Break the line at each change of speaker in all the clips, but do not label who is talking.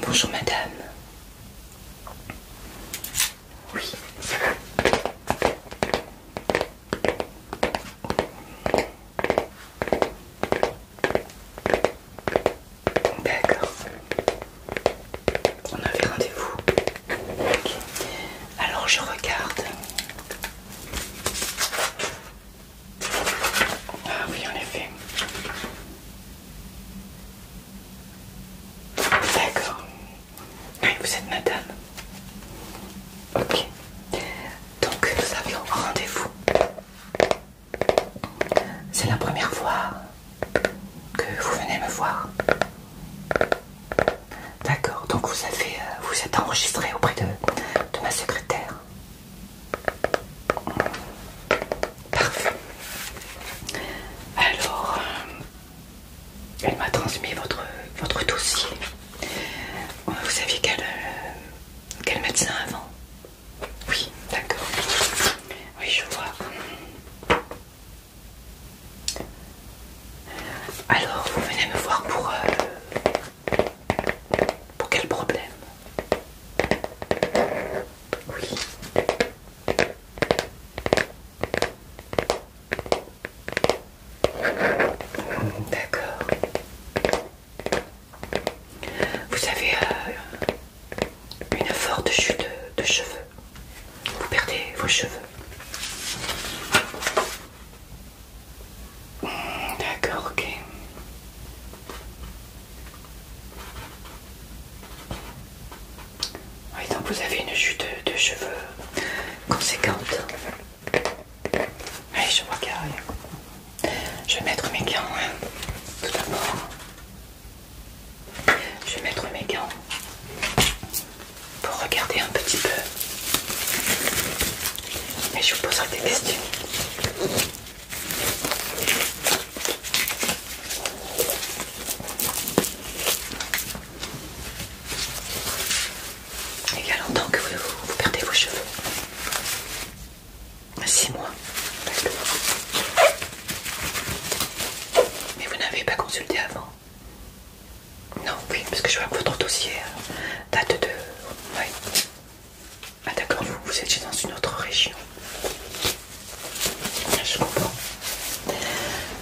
Bonjour madame. Oui. D'accord. On avait rendez-vous. Alors je regarde. Ah oui, en effet. D'accord. Oui, vous êtes madame. Ok. Donc, nous avions rendez-vous. C'est la première fois que vous venez me voir. D'accord. Donc, vous, euh, vous êtes enregistré auprès de ma secrétaire. Parfait. Alors, euh, elle m'a transmis votre, votre dossier. Vous saviez euh, quel, médecin avant Oui, d'accord. Oui, je vois. Alors, vous venez me voir pour euh, pour quel problème Oui. D'accord. Vous avez euh, une forte chute de cheveux. Vous perdez vos cheveux. D'accord, ok. vous avez une chute de, cheveux conséquente. Allez, je vois Je vais mettre mes gants, hein. tout d'abord. Je vais mettre mes gants pour regarder un petit peu. Mais je vous poserai des questions. Il y a longtemps que vous, perdez vos cheveux. 6 mois. Mais vous n'avez pas consulté avant Non, oui, parce que je vois que votre dossier euh, date de... Ah d'accord, vous, vous étiez dans une autre région. Ah, je comprends.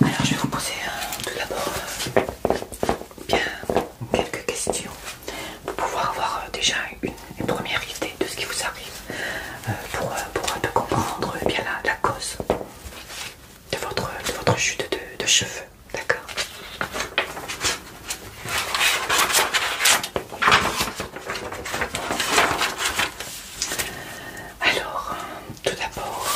Alors je vais vous poser tout d'abord euh, bien quelques questions pour pouvoir avoir euh, déjà une, première idée de ce qui vous arrive, euh, pour, pour un peu comprendre eh bien la, cause de votre, votre chute de cheveux. D'accord alors, tout d'abord,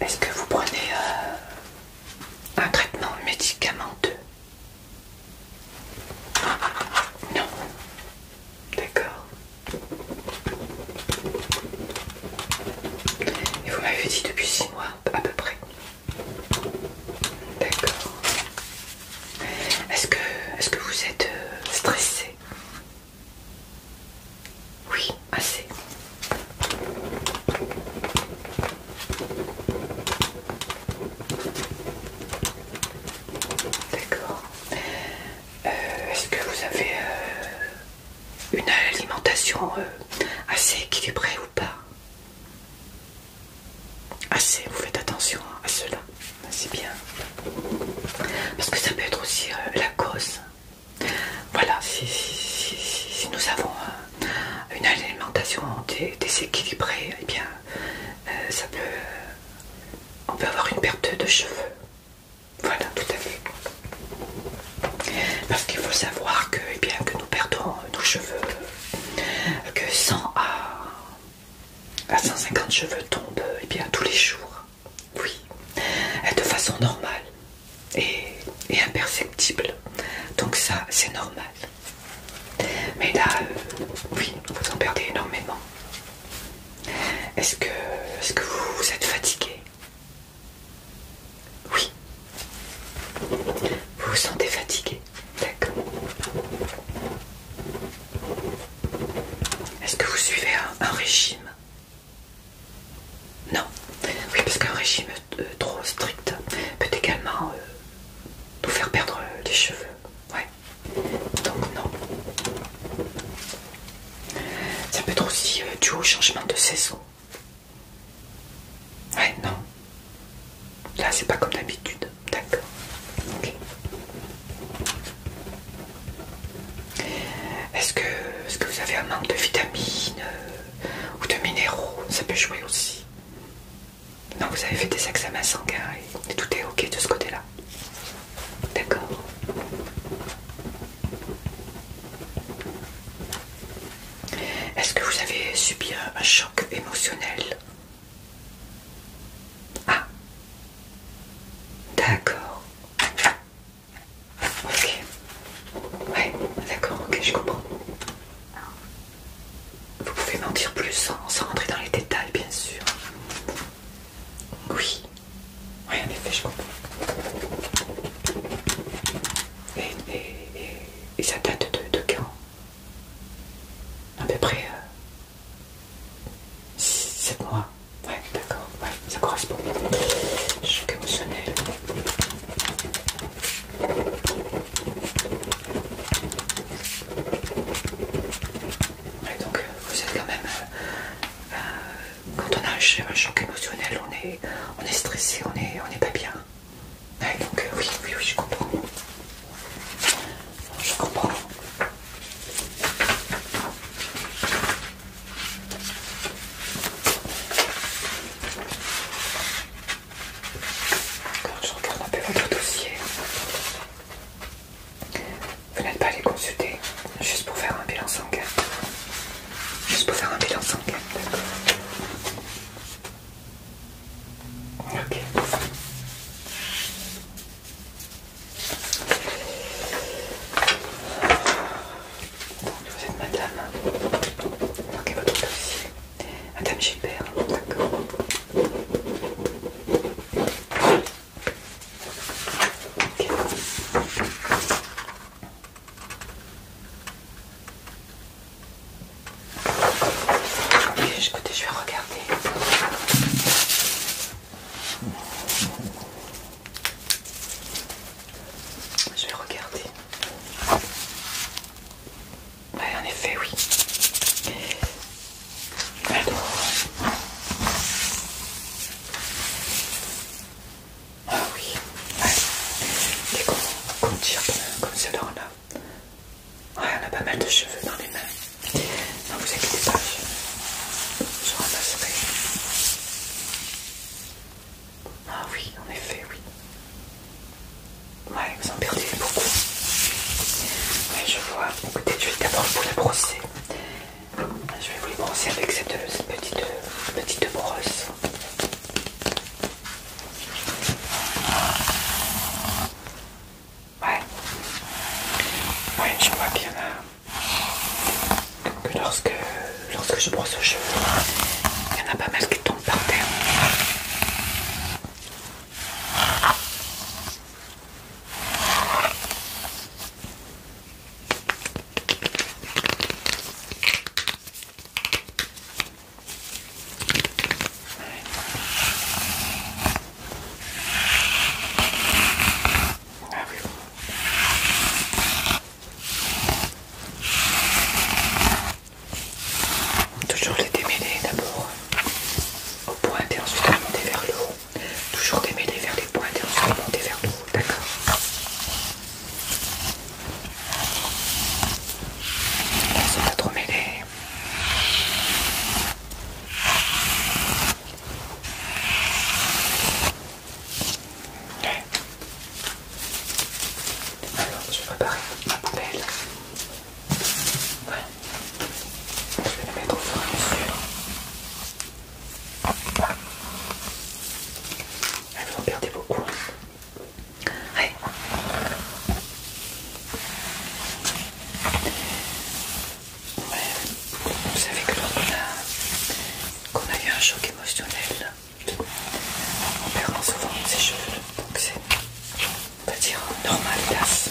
est-ce que vous prenez euh, un traitement médicamenteux Non. D'accord. Et vous m'avez dit depuis 6 mois à peu près. D'accord. Est-ce que, est que vous êtes euh, stressé Oui, assez. D'accord. Euh, est-ce que vous avez euh, une alimentation euh, assez équilibrée ou pas Assez, vous faites attention à cela, c'est bien. Parce que ça peut être aussi euh, la cause. Voilà, si, nous avons euh, une alimentation déséquilibrée, eh bien, ça peut... on peut avoir une perte de cheveux. Voilà, tout à fait. Parce qu'il faut savoir que, eh bien, que nous perdons nos cheveux, que 100 à, 150 cheveux tombent eh bien, tous les jours, oui, de façon normale et, imperceptible. Donc ça, c'est normal. Mais là, euh, oui, vous en perdez énormément. Est-ce que, vous êtes fatigué oui. Vous vous sentez fatigué D'accord. Est-ce que vous suivez un, régime Non. Oui, parce qu'un régime euh, trop strict peut également vous euh, nous faire perdre les cheveux. Ouais. Donc non. Ça peut être aussi euh, dû au changement de saison. Ouais, non. Là, c'est pas comme d'habitude. D'accord. Est-ce que, que vous avez un manque de vitamines euh, ou de minéraux Ça peut jouer aussi. Non, vous avez fait des examens sanguins et tout est ok de ce côté-là. D'accord. Est-ce que vous avez subi un, choc émotionnel Ah D'accord. Ok. Ouais, d'accord, ok, je comprends. Vous pouvez mentir plus sans, rentrer dans les détails, bien sûr. Oui. Oui, en effet, je comprends. Et, et, et, et ça date de, quand À peu près 7 mois. Ouais, d'accord, ouais, ça correspond. Choc émotionnel. Ouais, donc euh, vous êtes quand même... Euh, euh, quand on a un choc émotionnel, on est, stressé, on n'est pas bien. Donc euh, oui, oui, oui, je comprends. Je comprends. je regarde un peu votre dossier. Vous n'êtes pas allé consulter juste pour faire un bilan sanguin. Juste pour faire un bilan sanguin, d'accord. Ok. vous êtes madame. Marquez votre dossier. Madame Gilbert, d'accord. Ok, écoutez, je vais regarder. Je vais regarder. en effet, oui. Ah oui, ouais. Et tire comme, comme là. Ouais, on a pas mal de cheveux dans les mains. Non, vous inquiétez pas, je, ramasserai. Ah oui, en effet, oui. Ouais, vous en perdez beaucoup. Mais je vois. Écoutez, je vais d'abord vous la brosser. Je vais vous les brosser avec cette, petite, petite brosse. Ouais. Ouais, je vois bien là. Que lorsque, lorsque je brosse aux cheveux, il y en a pas mal qui tombent par terre. Toujours les démêler d'abord aux pointes et ensuite remonter vers le haut. Toujours démêler vers les pointes et ensuite remonter vers le haut, d'accord ils sont pas trop mêlés. Alors, je vais préparer ma poubelle. Voilà. Je vais la mettre au fur et à mesure. Vous en perdez beaucoup. Vous savez que lorsqu'on a, a eu un choc émotionnel, on perd souvent ses cheveux, donc c'est, pas dire, normal, d'assez.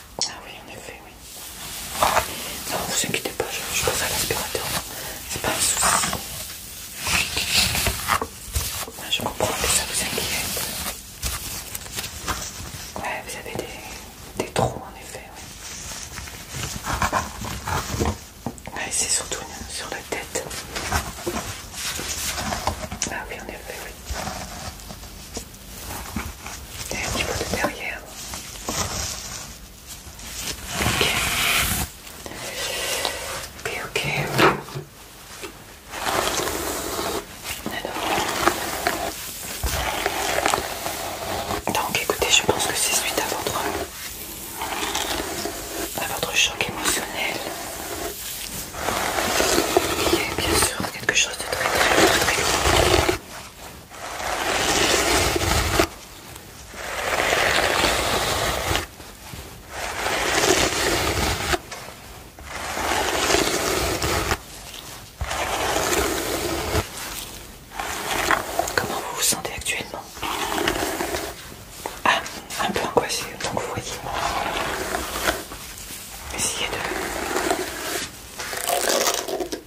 Ah oui, en effet, oui. Non, vous inquiétez pas, je, pense passe à l'aspirateur. C'est pas un souci. je comprends que ça vous inquiète. Ouais, vous avez des, trous, en effet, oui. Oui, c'est surtout sur la tête. Ah oui, en effet, oui un petit peu de derrière. Ok. Ok, ok. Donc écoutez, je pense que c'est suite à votre à votre choc émotionnel. Il bien sûr quelque chose de très très très très Comment vous vous sentez actuellement Ah, un peu angoissé, donc vous voyez. Essayez de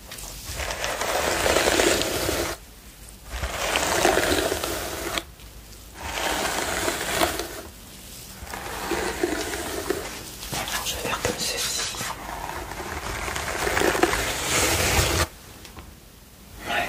Alors je vais faire comme ceci. Ouais.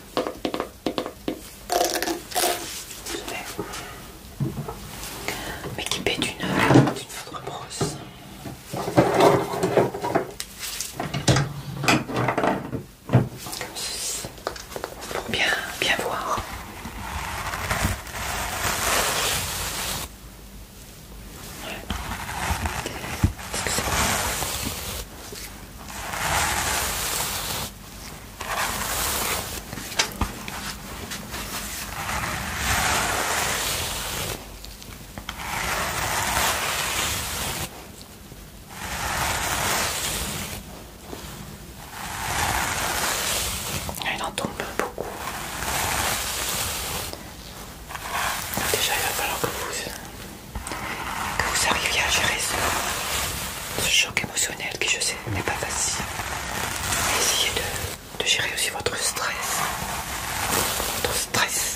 Je vais m'équiper d'une autre brosse. Comme ceci, pour bien, bien voir. Est-ce que c'est bon il en tombe beaucoup. Déjà, il va falloir que vous que vous arriviez à gérer ce, choc émotionnel qui, je sais, n'est pas facile. essayez de, gérer aussi votre stress. Votre stress.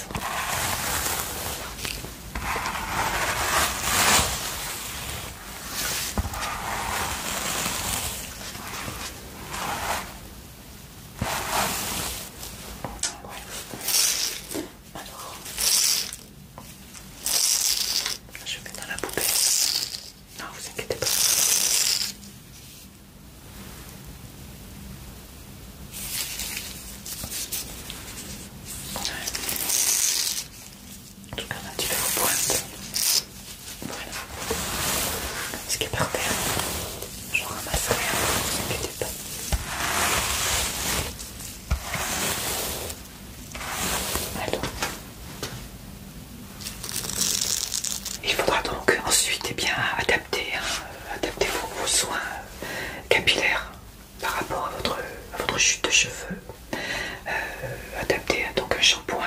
Alors, je vais dans la poupée. Non, vous inquiétez pas. En tout cas, on a un petit peu vos Voilà. Ce qui est parfait. Je ramasse rien. Hein, ne vous inquiétez pas. Il faudra donc ensuite eh bien, adapter, hein, vos, soins capillaires par rapport à votre, chute de cheveux. Euh, adapter hein, donc un shampoing,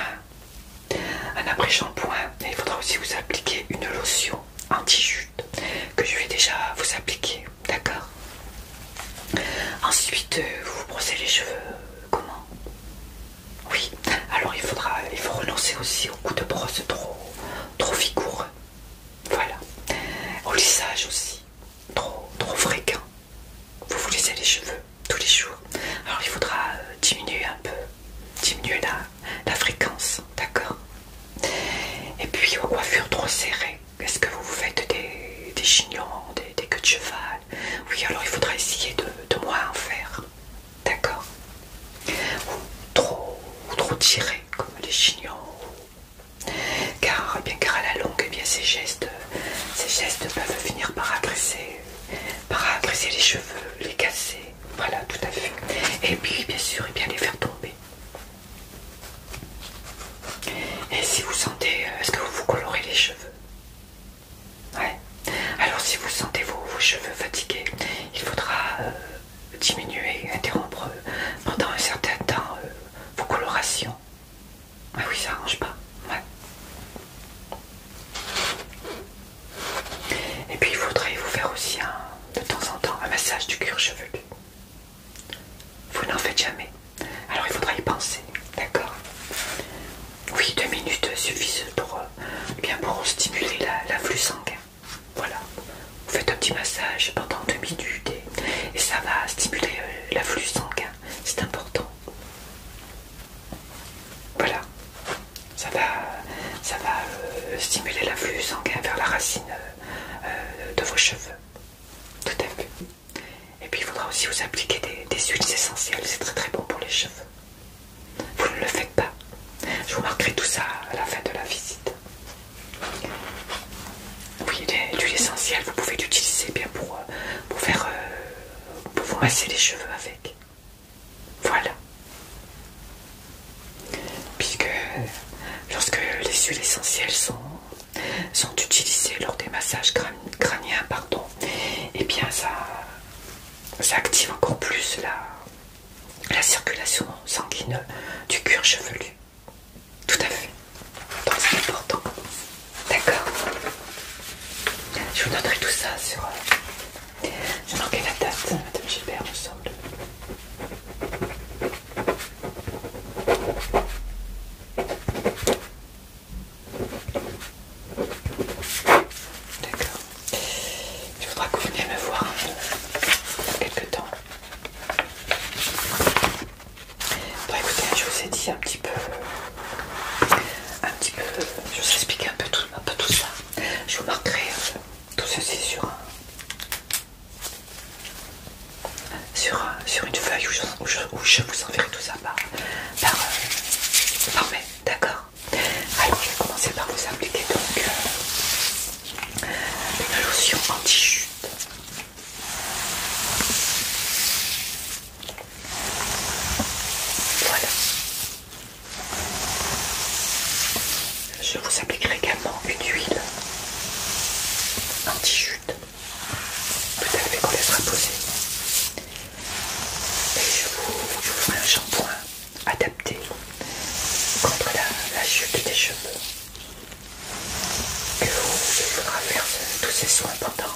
un après-shampoing. Il faudra aussi vous appliquer une lotion anti-chute que je vais déjà vous appliquer. D'accord Ensuite, vous euh, vous brossez les cheveux comment Oui, alors il faudra, il faut renoncer aussi au coups de brosse trop, trop vigoureux. Voilà. Au lissage aussi, trop, trop fréquent. Vous vous lissez les cheveux tous les jours. Alors il faudra euh, diminuer un peu, diminuer la, la fréquence, d'accord Et puis aux coiffures trop serrées, est-ce que vous vous faites des, chignons, des, queues de cheval Oui, alors il faudra essayer de, moi moins en faire. D'accord ou trop, ou trop tiré, comme les chignons. Car, eh bien, à la longue, eh bien, ces, gestes, ces gestes peuvent finir par agresser, par les cheveux, les casser. Voilà, tout à fait. Et puis, bien sûr, eh bien, les faire tomber. Et si vous sentez, euh, est-ce que vous vous colorez les cheveux Ouais. Alors si vous sentez vos, cheveux fatigués, il faudra euh, diminuer, interrompre euh, pendant un certain temps vos colorations. Ah oui, ça arrange pas. Ouais. Et puis il faudrait vous faire aussi de temps en temps un massage du cuir chevelu. Vous n'en faites jamais. Alors il faudra y penser, d'accord Oui, deux minutes suffisent pour, euh, bien stimuler la flux sanguin. Voilà. Vous faites un petit massage pendant deux minutes et, ça va stimuler euh, la flux sanguin. C'est important. Voilà. Ça va, ça va euh, stimuler l'afflux sanguin vers la racine de vos cheveux. Tout à fait. Et puis il faudra aussi vous appliquer des, huiles essentielles, c'est très très bon pour les cheveux. Vous ne le faites pas. Je vous marquerai tout ça à la fin de la visite. Oui, l'huile essentielle, vous pouvez l'utiliser bien pour, euh, pour faire euh, pour vous masser les cheveux avec. Voilà. Puisque euh, lorsque les huiles essentielles sont sont utilisés lors des massages crâniens, pardon, et eh bien ça, ça active encore plus la, la circulation sanguine du cuir chevelu. Tout à fait. Donc c'est important. D'accord Je vous noterai tout ça sur... je manqué la date, Madame Gilbert, me D'accord. Il faudra que vous veniez me voir hein, dans quelques temps. Bon, écoutez, je vous ai dit un petit peu, un petit peu, je vous ai expliqué un peu tout, un peu tout ça. Je vous marquerai hein, tout ceci sur un, euh, sur, une feuille où je, vous enverrai tout ça par, euh, mail, d'accord Alors je vais commencer par vous appliquer donc une euh, lotion anti-chute. Voilà. Je vous appliquerai également une huile anti-chute tout à fait qu'on laissera poser. Et je vous, ferai un shampoing adapté contre la, chute des cheveux. Et vous, il faudra faire tous ces soins pendant,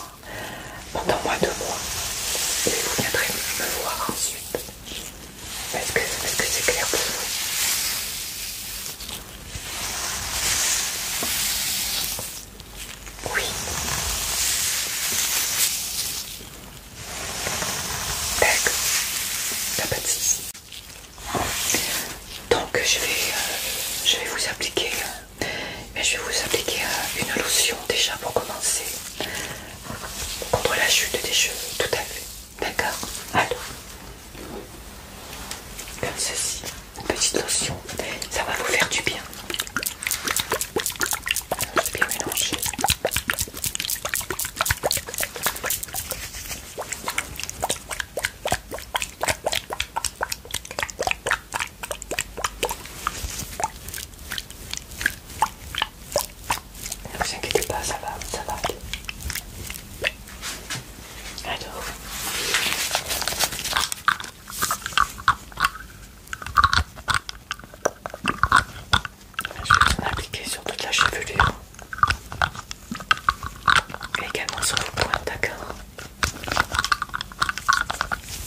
pendant moins de mois. Et vous viendrez me voir ensuite. Est-ce que c'est clair pour vous oui. D'accord. T'as pas de soucis. Donc je vais, euh, je vais vous appliquer, euh, mais je vais vous appliquer euh, une lotion déjà pour commencer contre la chute des cheveux, tout à fait. D'accord. Allô comme ceci, une petite lotion, ça va vous faire du bien. Bien mélanger. Ne vous inquiétez pas, ça va, ça va aller. Alors. Je vais appliquer sur toute la chevelure. Et également sur le pointes, d'accord.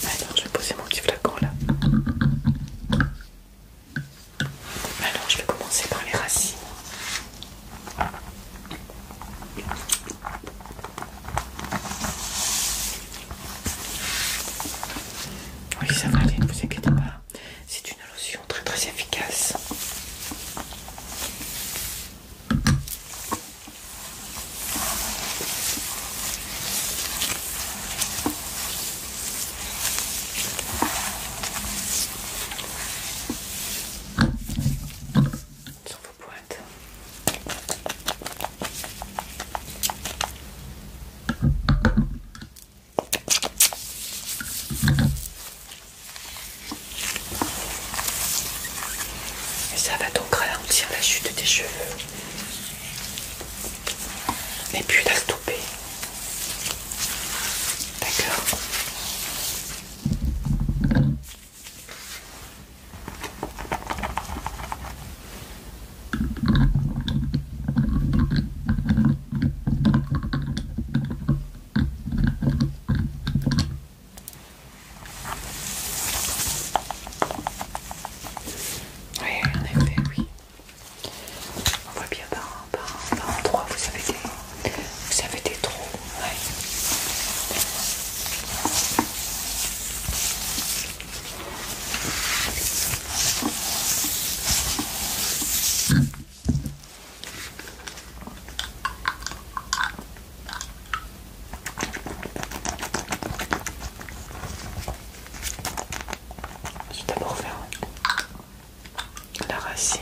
Alors je vais poser mon petit flacon là. Alors je vais commencer par les racines. Oui, ça va aller, ne vous inquiétez pas. C'est une lotion très très efficace. Et ça va donc ralentir la chute des cheveux mais puis la stopper. D'accord oui, en effet, oui. On voit bien par, par, par endroit, vous savez des, vous avez des trous je vais d'abord faire la racine.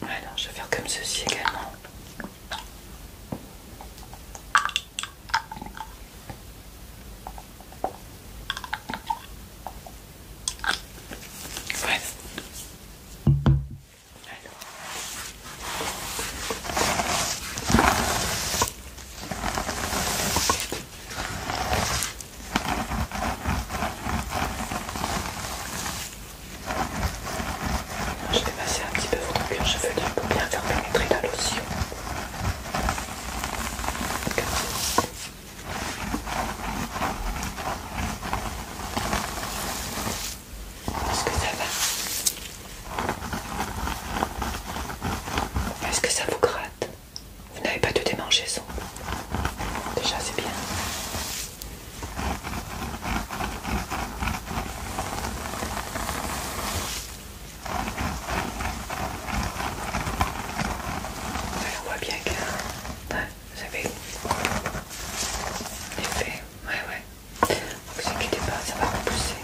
Alors je vais faire comme ceci également. Je vais passer un petit peu votre cuir chevelu pour bien faire pénétrer la lotion. Est-ce que ça va Est-ce que ça vous gratte Vous n'avez pas de ça Déjà, c'est bien. On voit bien que... Ouais, vous savez... L'effet, ouais, ouais. Vous inquiétez pas, ça va repousser.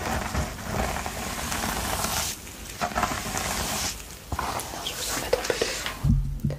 je vous en mets un peu devant.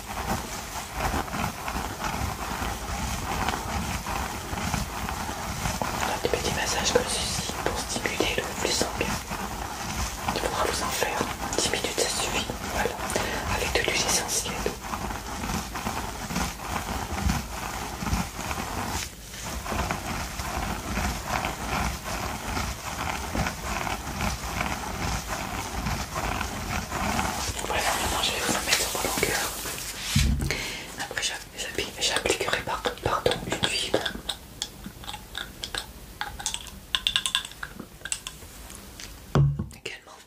On a des petits massages comme ceci pour stimuler le flux sanguin. Il faudra vous en faire 10 minutes, ça suffit. Voilà, avec de l'huile essentielle voilà, je vais vous en mettre en longueur. Après, j'appliquerai par, une huile. Également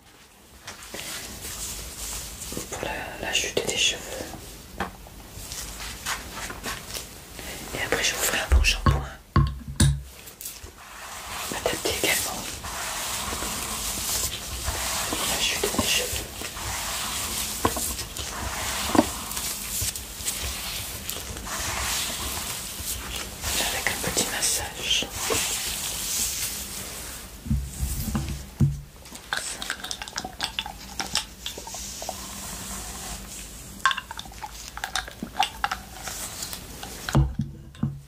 pour la, la chute des cheveux. Et après, je vous ferai un bon shampoing adapté également à la chute des cheveux. Avec un petit massage.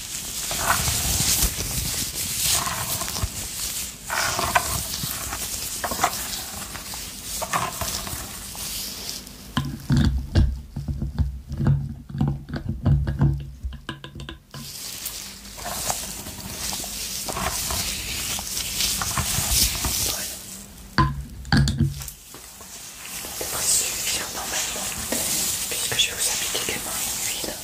C'est pas devrait normalement puisque je vous appliquer également une huile.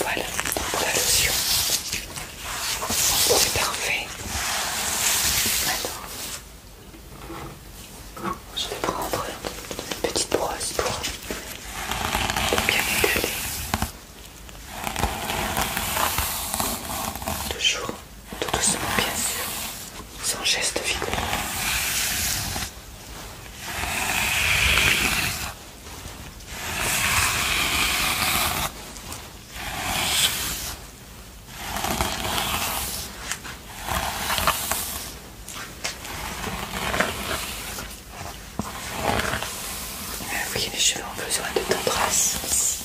Voilà, la lotion, c'est parfait. Alors, je vais prendre une petite brosse pour, bien étaler. Toujours tout doucement bien sûr, sans geste vigoureux. Ah oui, les cheveux ont besoin de tendresse ici.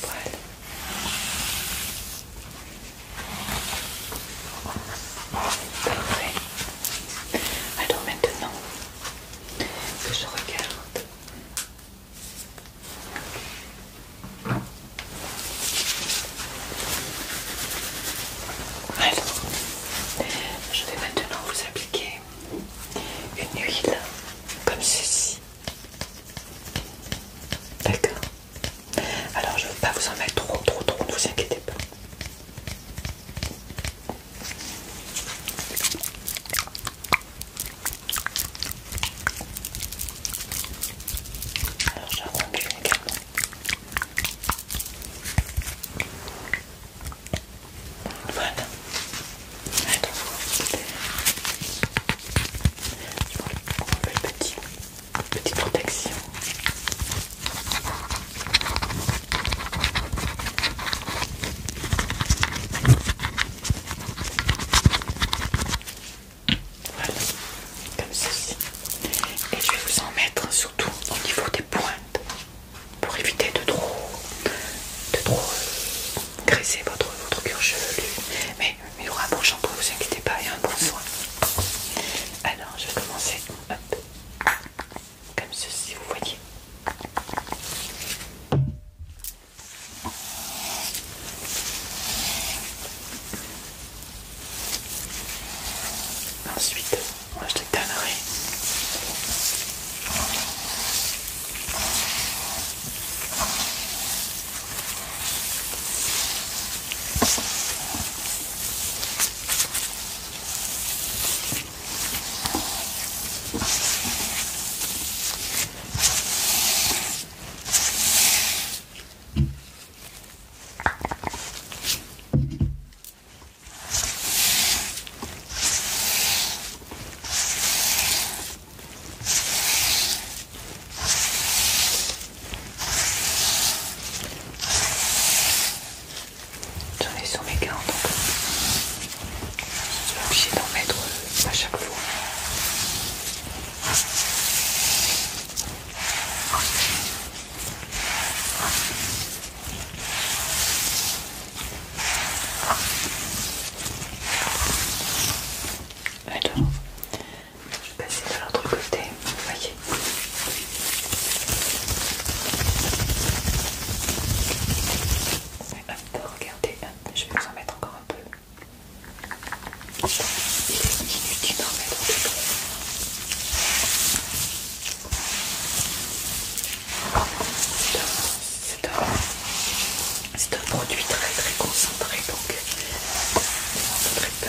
Voilà. Parfait. Alors maintenant que je regarde alors, je vais maintenant vous appliquer une huile comme ceci. D'accord Alors, je ne veux pas vous en mettre trop, trop, trop, ne vous inquiétez pas. Alors j'en également. Voilà. Je prends le petit, petite protection. Voilà, comme ceci. Et je vais vous en mettre surtout au niveau des pointes pour éviter de trop, de trop euh, graisser votre, votre cuir chevelu. Mais il y aura un bon shampoing, ne vous inquiétez pas, et un bon soin. Alors je vais commencer comme ceci, vous voyez. Ensuite, moi je te donnerai J'en ai sur mes gants donc je suis obligée d'en mettre euh, à chaque fois. Alors, je vais passer de l'autre côté, vous voyez. regardez, je vais vous en mettre encore un peu. Il est inutile d'en mettre C'est un, c'est un produit très très concentré donc on très peu.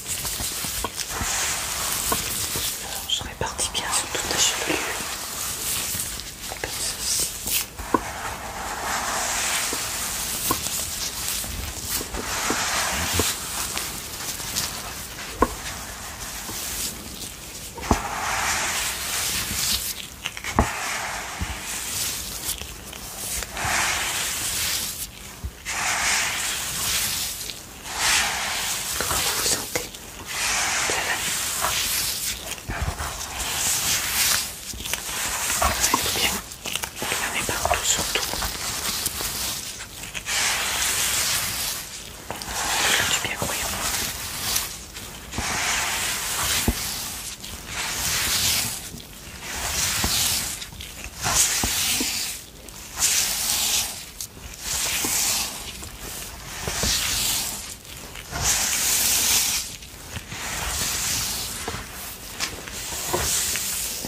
je répartis bien sur toute la chevelure, Comment vous vous sentez Ça va Vous bien Il y en a partout surtout. Ça fait du bien, croyez moi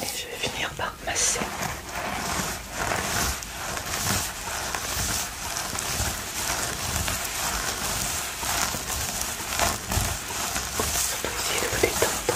et je vais finir par masser. Pour essayer de vous détendre.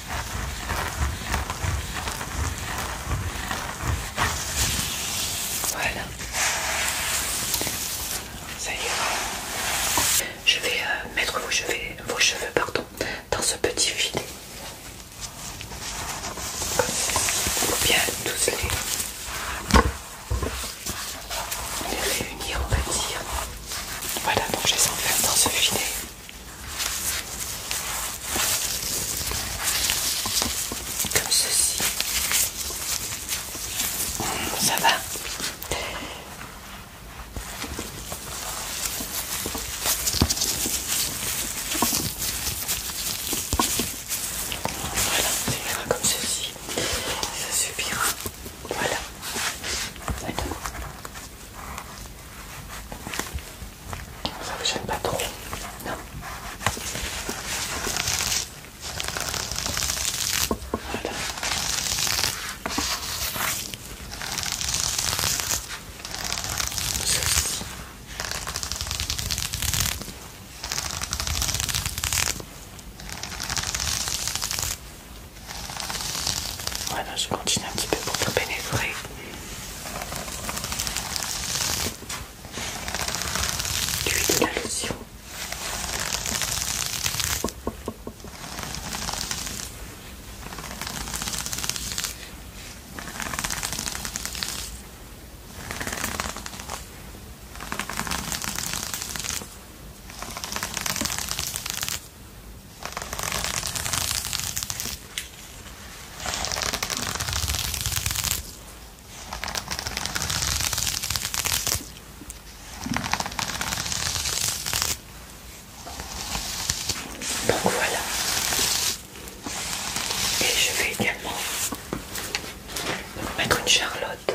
Voilà. Ça y est. Je vais euh, mettre vos cheveux, vos cheveux dans ce petit filet. Comme ça. bien tous les, les réunir, on va dire. Voilà, donc je les enferme dans ce filet comme ceci. Ça va Voilà, ça ira comme ceci. Ça suffira. Voilà. Ça vous gêne pas trop Non Voilà. Voilà, je continue un petit peu pour te pénétrer. L'huile de la lotion. Donc voilà. Et je vais également mettre une charlotte.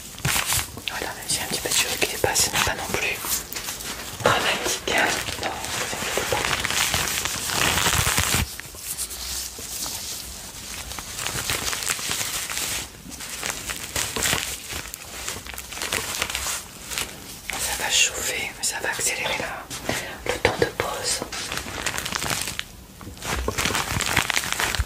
Voilà, j'ai un petit peu de cheveux qui passé pas non plus dramatique. Hein non, pas. Ça va chauffer, mais ça va accélérer là. le temps de pause.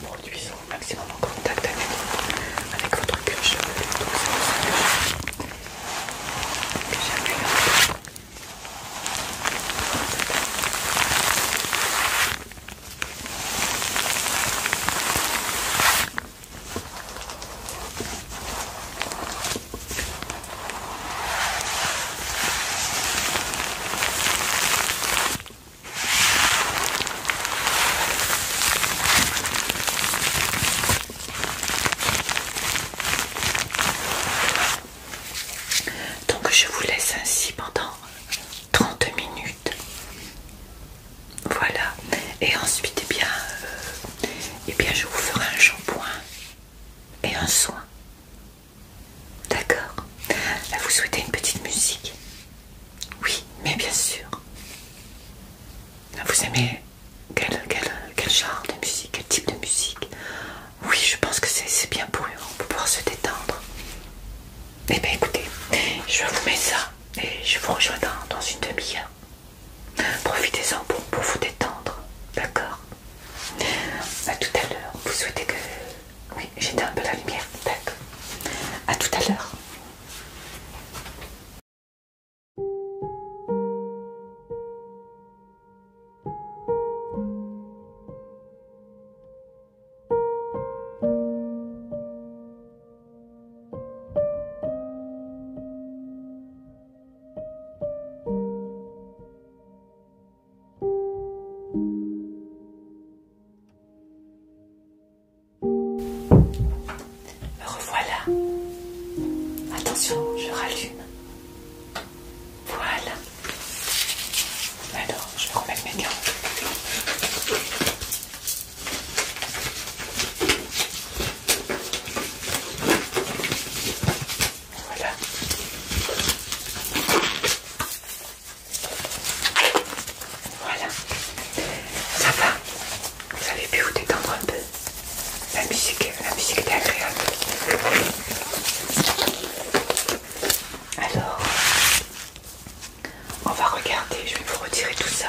Voilà. maximum contact avec, votre cuir donc je vous laisse ainsi pendant 30 minutes voilà. Et ensuite, eh bien, euh, eh bien, je vous ferai un shampoing et un soin. D'accord vous souhaitez une petite musique Oui, mais bien sûr. Vous aimez quel, genre de musique Quel type de musique Oui, je pense que c'est bien pour, pour pouvoir se détendre. Eh bien, écoutez, je vous mets ça et je vous rejoins dans, dans une demi-heure. Profitez-en pour, vous détendre, d'accord à tout à l'heure. Vous souhaitez que... Oui, j'éteins un peu la lumière, à tout à l'heure. Me revoilà. Attention, je rallume. Voilà. Alors, je vais mes gants. Voilà. Voilà. Ça va. Vous avez pu vous détendre un peu. La musique, la musique était agréable. Alors, on va regarder. Je vais vous retirer tout ça.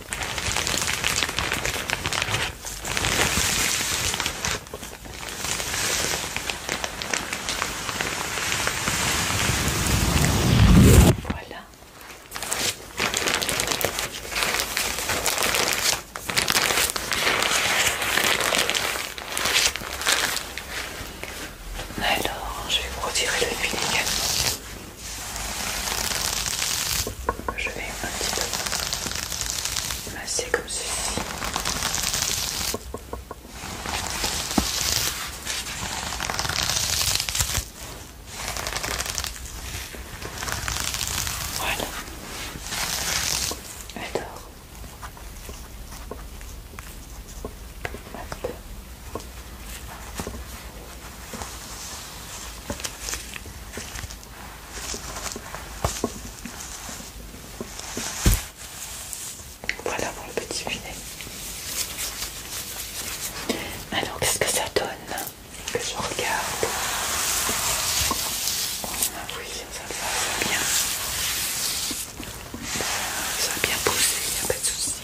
Voilà. Alors, je vais vous retirer le fil également. Je vais un petit peu masser comme ceci. Voilà. Alors. Voilà pour le petit filet. Alors qu'est-ce que ça donne Que je regarde. Ah oui, ça va bien. Ça a bien poussé, il n'y a pas de souci.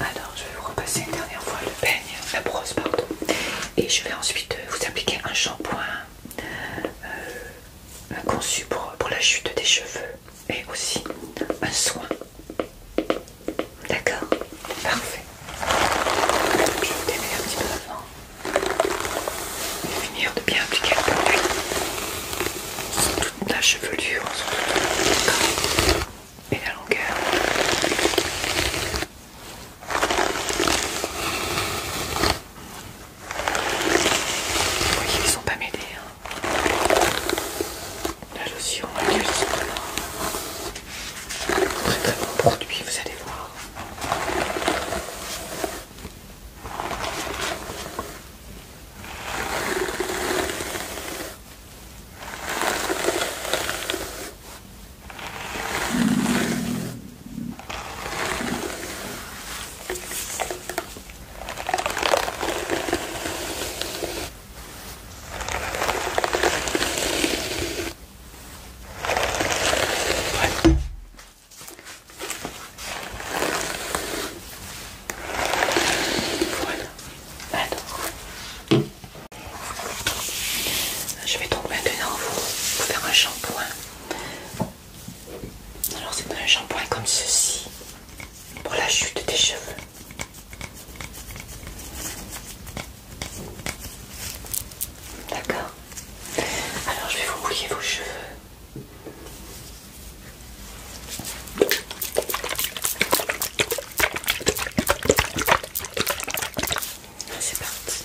Alors, je vais vous repasser une dernière fois le peigne, la brosse, pardon, et je vais ensuite euh, vous appliquer un shampoing euh, conçu pour la chute des cheveux et aussi un soin. D'accord Parfait. Je vais démêler un petit peu avant et finir de bien appliquer le produit toute la chevelure, et la longueur. Vous voyez, ils sont pas mêlés. Hein. La lotion Très très bon produit, vous allez voir. Voilà. Je vais donc maintenant pour vous faire un shampoing. Alors c'est un shampoing comme ceci pour la chute des cheveux. D'accord. Alors je vais vous mouiller vos cheveux. Ah, c'est parti.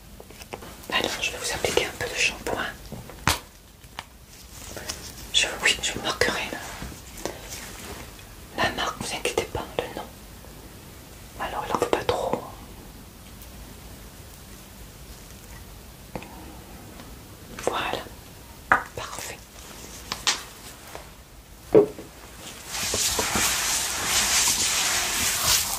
Alors, bah, je vais vous appliquer un peu de shampoing. Je, oui, je marquerai la, marque, ne vous inquiétez pas, le nom. Alors, il n'en faut pas trop. Voilà, parfait.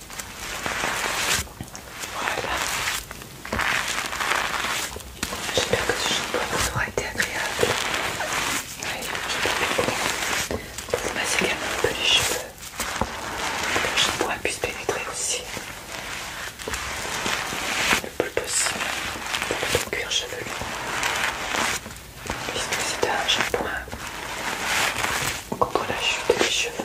Voilà. J'espère que ce shampoing vous aura été agréable. Oui, je Pour vous masser également un peu les cheveux. Que le shampoing puisse pénétrer aussi le plus possible dans le cuir chevelu. Puisque c'est un shampoing contre la chute des cheveux.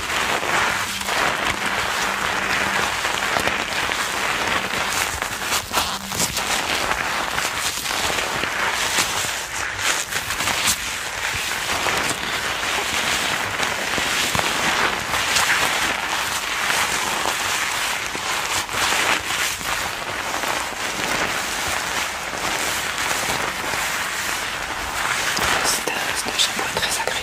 C'est un, un chapeau très agréable.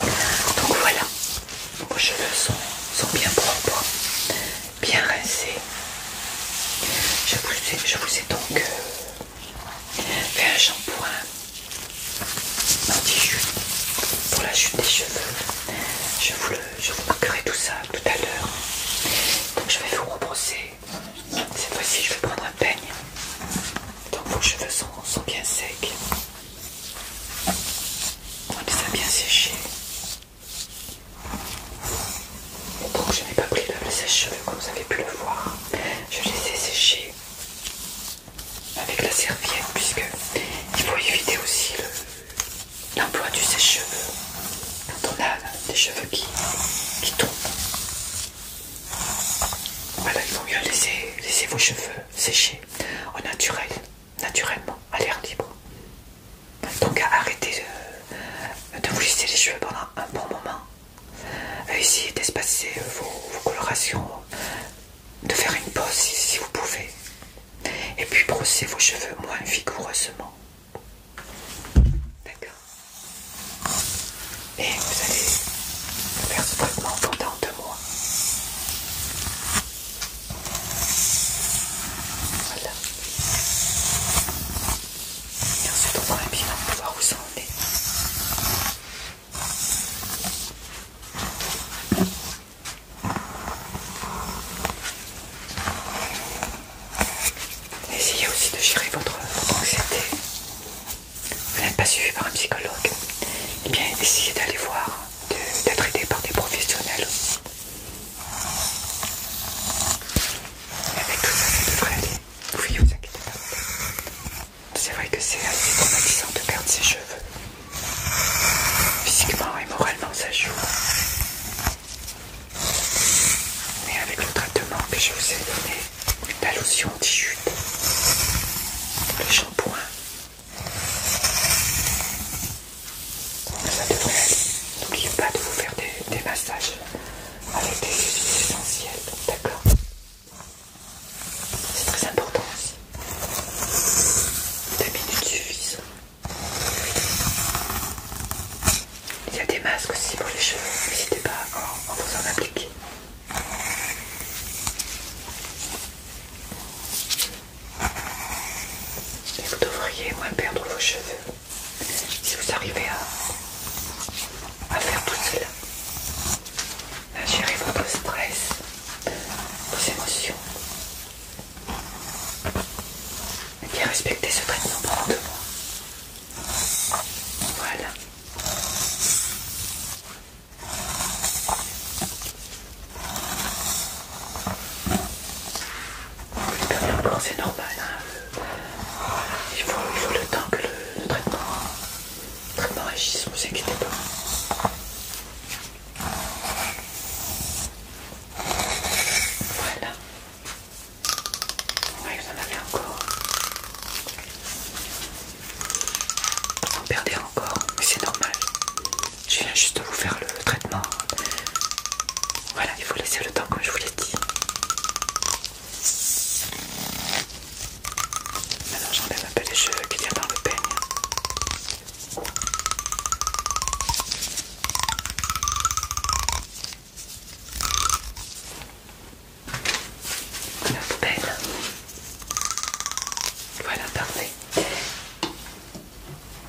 Donc voilà, vos cheveux sont, bien propres, bien rincés. Je vous ai, donc euh, fait un shampoing anti jupe pour la chute des cheveux. Je vous, le, marquerai tout ça tout à l'heure. Donc je vais vous rebrosser. Cette fois-ci, je vais prendre un peigne. Donc vos cheveux sont bien secs. On les a bien sécher. Donc je n'ai pas pris le sèche-cheveux comme vous avez pu le voir. Je les sécher avec la serviette puisque il faut éviter aussi l'emploi du sèche-cheveux quand on a des cheveux qui, tombent. Voilà, il vaut mieux laisser vos cheveux séché au naturel, naturellement, à l'air libre. Donc arrêtez de, vous lisser les cheveux pendant un bon moment. Euh, essayez d'espacer vos, colorations, de faire une pause si, vous pouvez. Et puis brossez vos cheveux moins vigoureusement. D'accord Et vous allez faire ce traitement pendant deux voilà. Et ensuite on fera un bilan pour voir où ça en est. Essayez aussi de gérer votre, votre anxiété vous n'êtes pas suivi par un psychologue, et eh bien essayez d'aller voir, d'être aidé par des professionnels. aussi. avec tout ça, ça devrait aller. Oui, vous inquiétez pas. C'est vrai que c'est assez traumatisant de perdre ses cheveux. Physiquement et moralement, ça joue. Mais avec le traitement que je vous ai donné, la lotion anti-chute, le shampoing, ça devrait N'oubliez pas de vous faire des, massages avec des essentiels, d'accord C'est très important aussi. Deux minutes suffisent. Il y a des masques aussi pour les cheveux, n'hésitez pas à en vous en appliquer vous devriez moins perdre vos cheveux si vous arrivez à, faire tout cela. À gérer votre stress, vos émotions. Et bien respecter ce traitement de Voilà. Le permis en encore, c'est normal. Il, faut, le temps que le, traitement, traitement agisse, ne vous inquiétez pas. Voilà. Ouais, vous en avez encore. Vous perdez encore, mais c'est normal. Je viens juste de vous faire le traitement. Voilà, il faut laisser le temps comme je vous l'ai dit. Maintenant j'enlève un peu les cheveux qu'il y a dans le peigne. Le peigne. Voilà, parfait.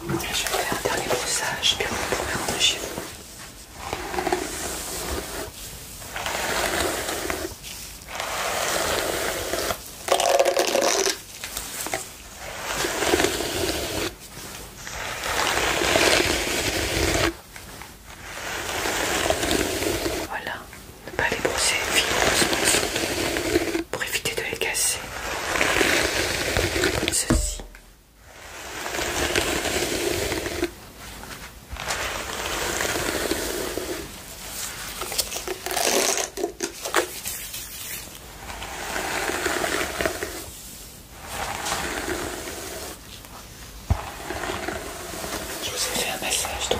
Je vais faire un dernier brossage, puis on pourrait rentrer chez vous. Voilà, ne pas les brosser vigoureusement pour éviter de les casser. Comme ceci. Je vous ai fait un massage donc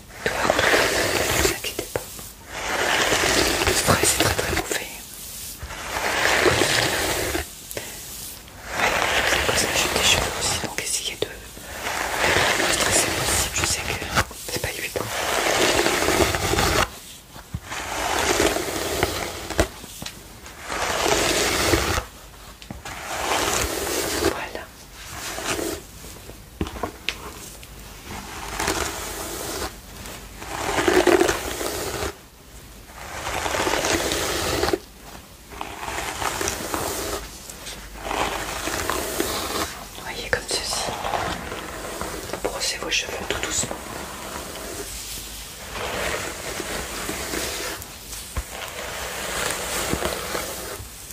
Ne vous inquiétez pas. Le stress est très très mauvais. C'est pour ça que j'ai des cheveux aussi, donc essayez de le stresser possible. Je sais que c'est pas évident. Voilà. Voyez comme ceci. Brossez vos cheveux tout doucement.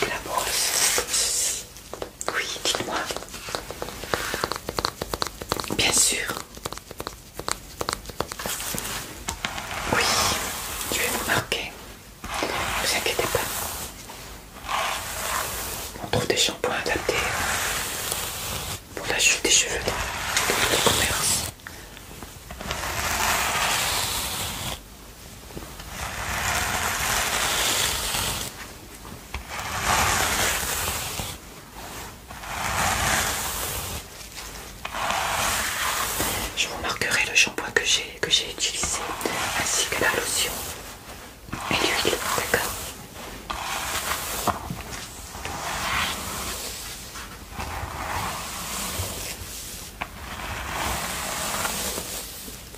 avec la brosse Oui, dites-moi. Bien sûr. Oui, je vais vous marquer. Ne vous inquiétez pas. On trouve des shampoings adaptés pour la chute des cheveux le commerce. Je vous marquerai le shampoing que j'ai que j'ai utilisé ainsi que la lotion et l'huile, d'accord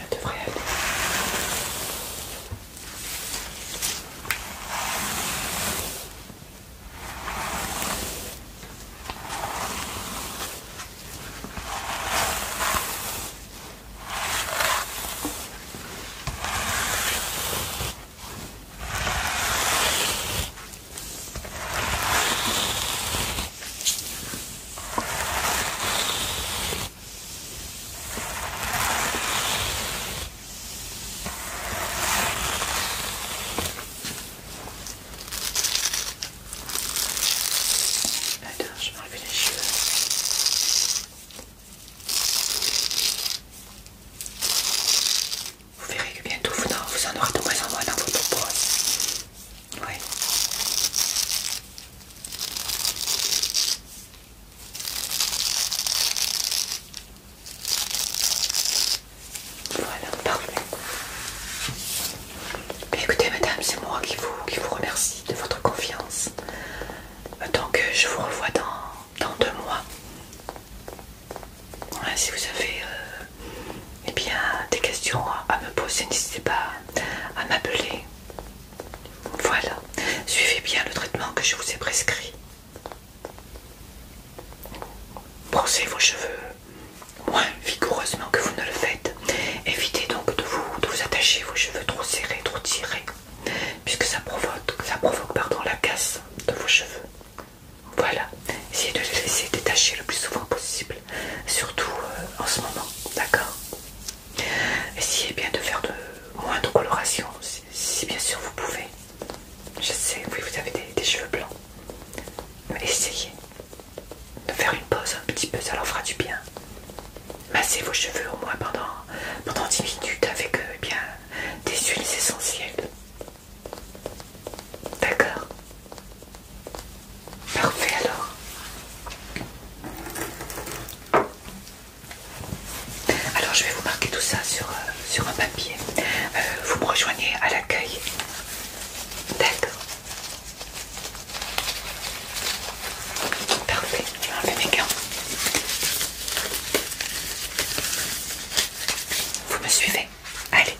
Elle devrait aller. Attends, je vais enlever les cheveux. Vous verrez que bientôt vous en, aurez de moins en moins dans votre peau. Oui. Voilà, parfait. Bah, écoutez, madame, c'est moi qui vous, qui vous remercie de votre confiance. Donc, je vous revois dans, dans deux mois. si vous avez euh, eh bien, des questions à me poser, n'hésitez pas à m'appeler. Voilà, suivez bien le traitement que je vous ai prescrit. Brossez vos cheveux moins vigoureusement que vous ne le faites. Évitez donc de vous, attacher vos cheveux trop serrés, trop tirés, puisque ça provoque, ça provoque pardon, la casse de vos cheveux. Voilà, essayez de les laisser détacher le plus souvent possible, surtout euh, en ce moment, d'accord Essayez bien de faire de moins de coloration si, bien sûr vous pouvez. Je sais, oui, vous avez des, cheveux blancs. Mais essayez de faire une pause un petit peu, ça leur fera du bien. Massez vos cheveux au moins pendant, pendant 10 minutes avec euh, eh bien, des huiles essentielles. D'accord Parfait alors. Alors je vais vous marquer tout ça sur, euh, sur un papier. Euh, vous me rejoignez à l'accueil. D'accord. Parfait, je vais enlever mes gants. Vous me suivez Allez.